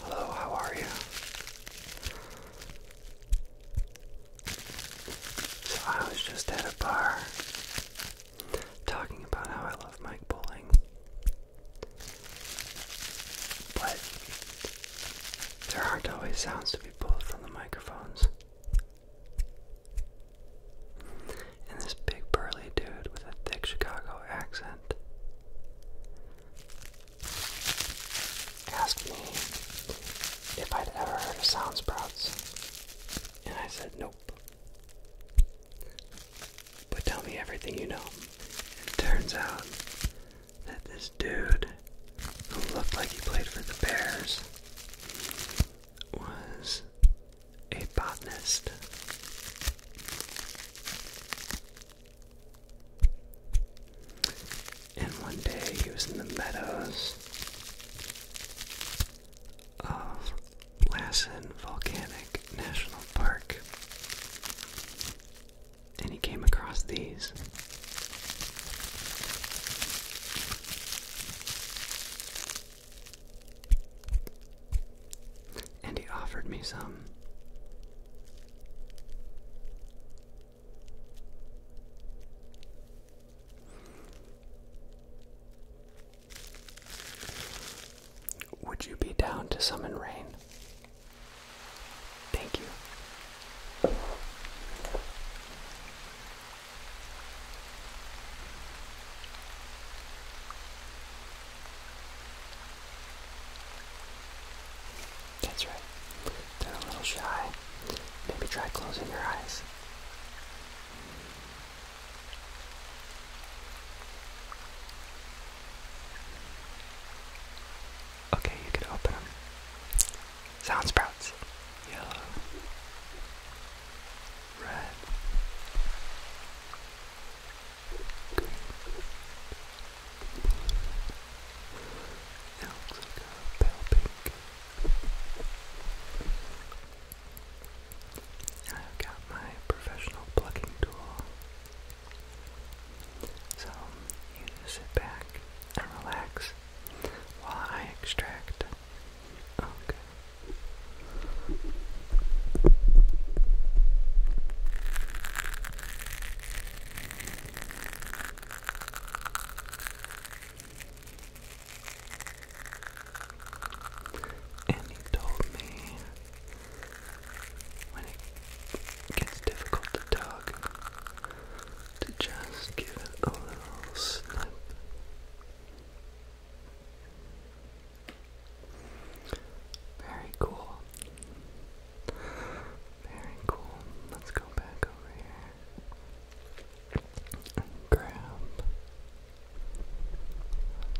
Hello, how are you? So I was just at a bar talking about how I love Mike Bowling. But there aren't always sounds to be pulled from the microphones. And this big burly dude with a thick Chicago accent asked me if I'd ever heard of sound sprouts. And I said, nope. But tell me everything you know. It turns out that this dude, who looked like he played for the Bears, was a botanist. And one day he was in the meadows of Lassen Volcanic National Park and he came across these. And he offered me some. Would you be down to summon rain? Thank you. That's right. They're a little shy. Maybe try closing your eyes. Okay, you can open them. Sound sprouts. Yellow. Red. Green. Now it pink. I've got my professional plucking tool. So you just sit back and relax while I extract. And he told me when it gets difficult to talk, to just give it a little Very cool. Very cool. Let's go back over here and grab.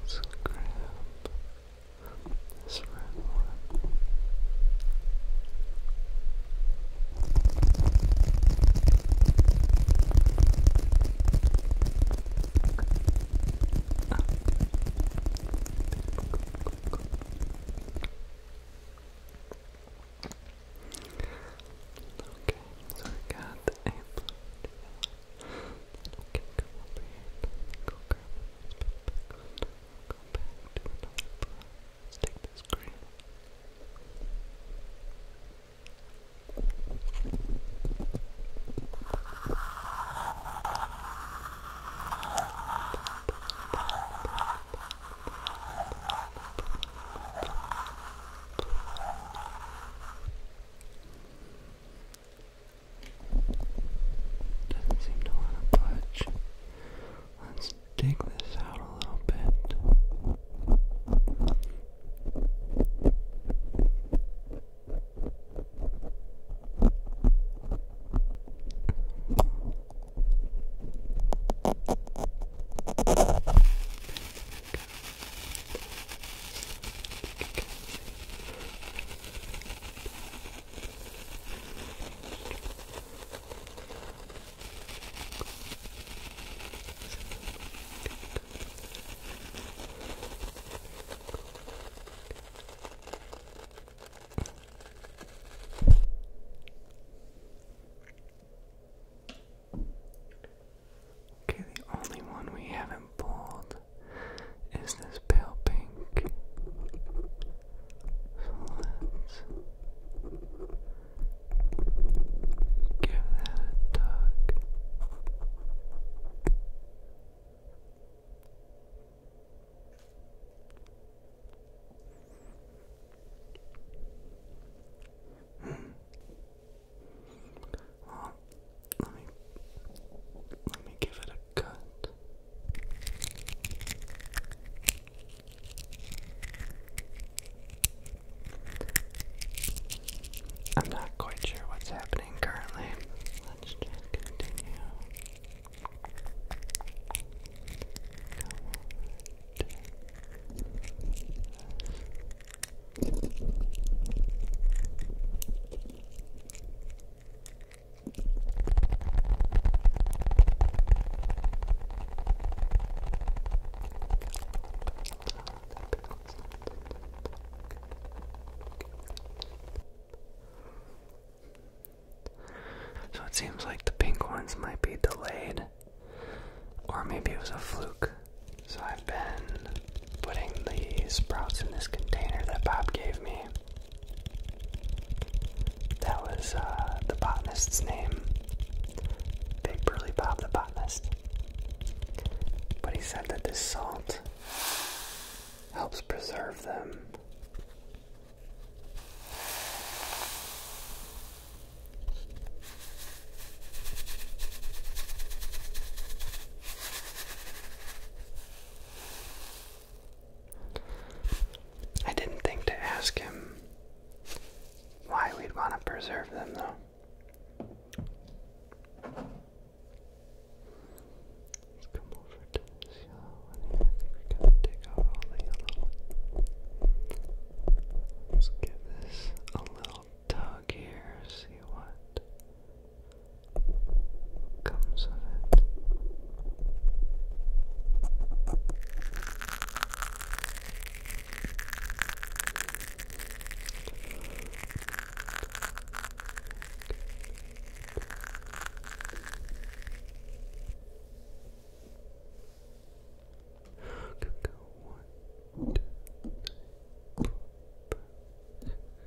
Let's grab. This red one. Okay, so we got a blue Okay, come over here. Go grab this back. Go back to another plant. Let's take this green Okay, doesn't seem to want to budge. Let's dig this out a little bit. Okay, the only one we haven't pulled is this pale pink. So let's give that a tug. Hmm. Let me let me give it a cut. I'm not quite sure what's happening currently. Let's just so it seems like the pink ones might be delayed, or maybe it was a fluke. So I've been putting the sprouts in this container that Bob gave me. That was uh, the botanist's name. Big Burly Bob the botanist. But he said that this salt helps preserve them. I didn't think to ask him why we'd want to preserve them, though. Let's come over to this yellow one here. to take out all the yellow. Let's give this a little little tug here, see what comes of it. Go, go, one, two, three, four, five, six,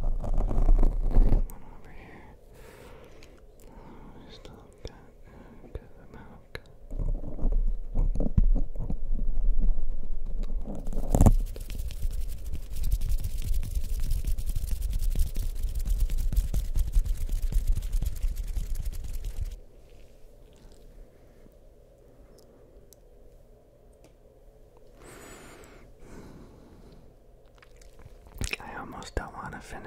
One over here. we still got a good amount. I almost don't want to finish.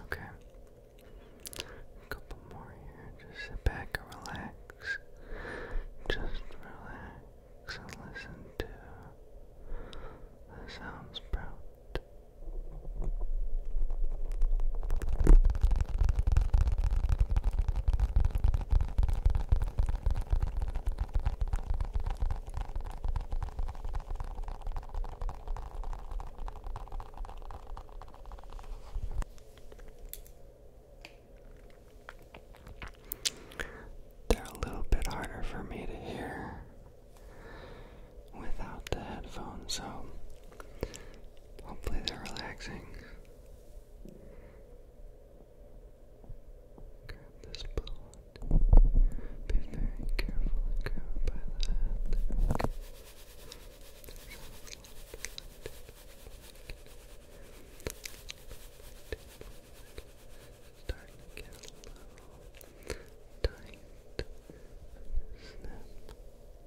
Okay. A couple more here. Just sit back and relax. Just relax and listen to the sounds, bro. They're a little bit harder for me to hear without the headphones, so hopefully they're relaxing. Grab this bullet. Be very careful and grab by the head. Okay. Starting to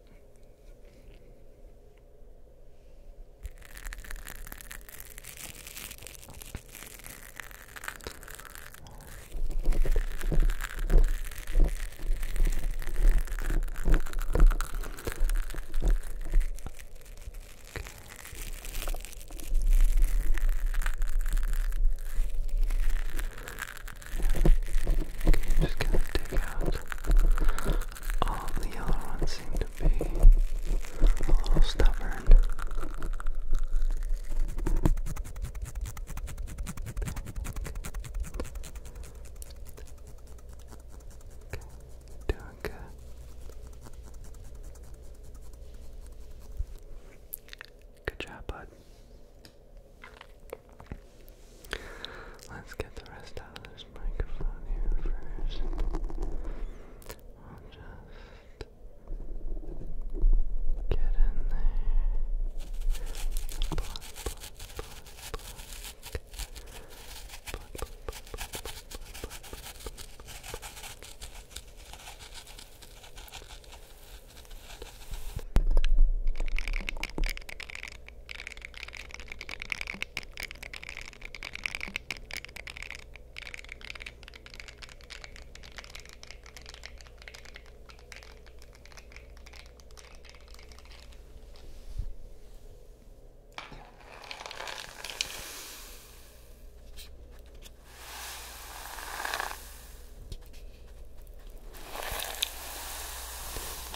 Okay, just gonna dig out all the yellow ones seem to be a little stubborn. Doing good. Good job, bud. Let's get the rest out of this microphone here first. I'll just get in there.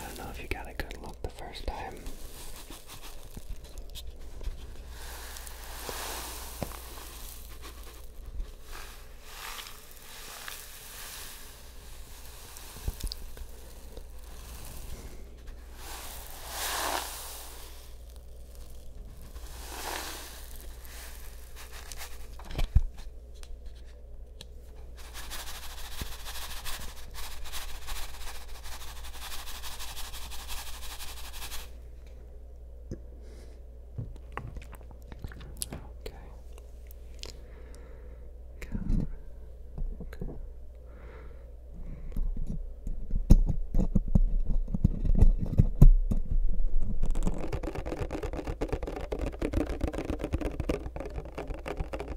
I don't know if you got a good look the first time. Okay. Camera. Okay. Okay.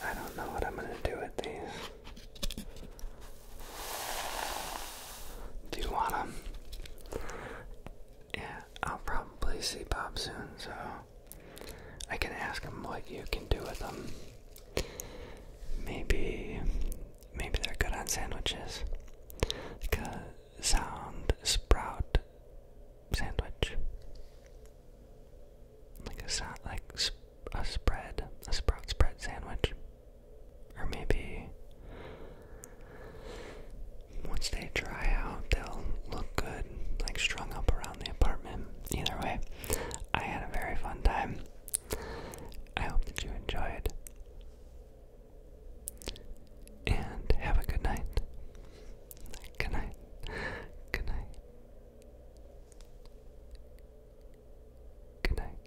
I don't know what I'm going to do with these. Do you want them? Yeah, I'll probably see Bob soon, so I can ask them what you can do with them. Maybe, maybe they're good on sandwiches. Like a sound sprout sandwich. Like a sound, like a spread, a sprout spread sandwich. Or maybe once they dry out, they'll look good, like strung up around the apartment. Either way, I had a very fun time. I hope that you enjoyed. And have a good night. Good night. Good night. Good night.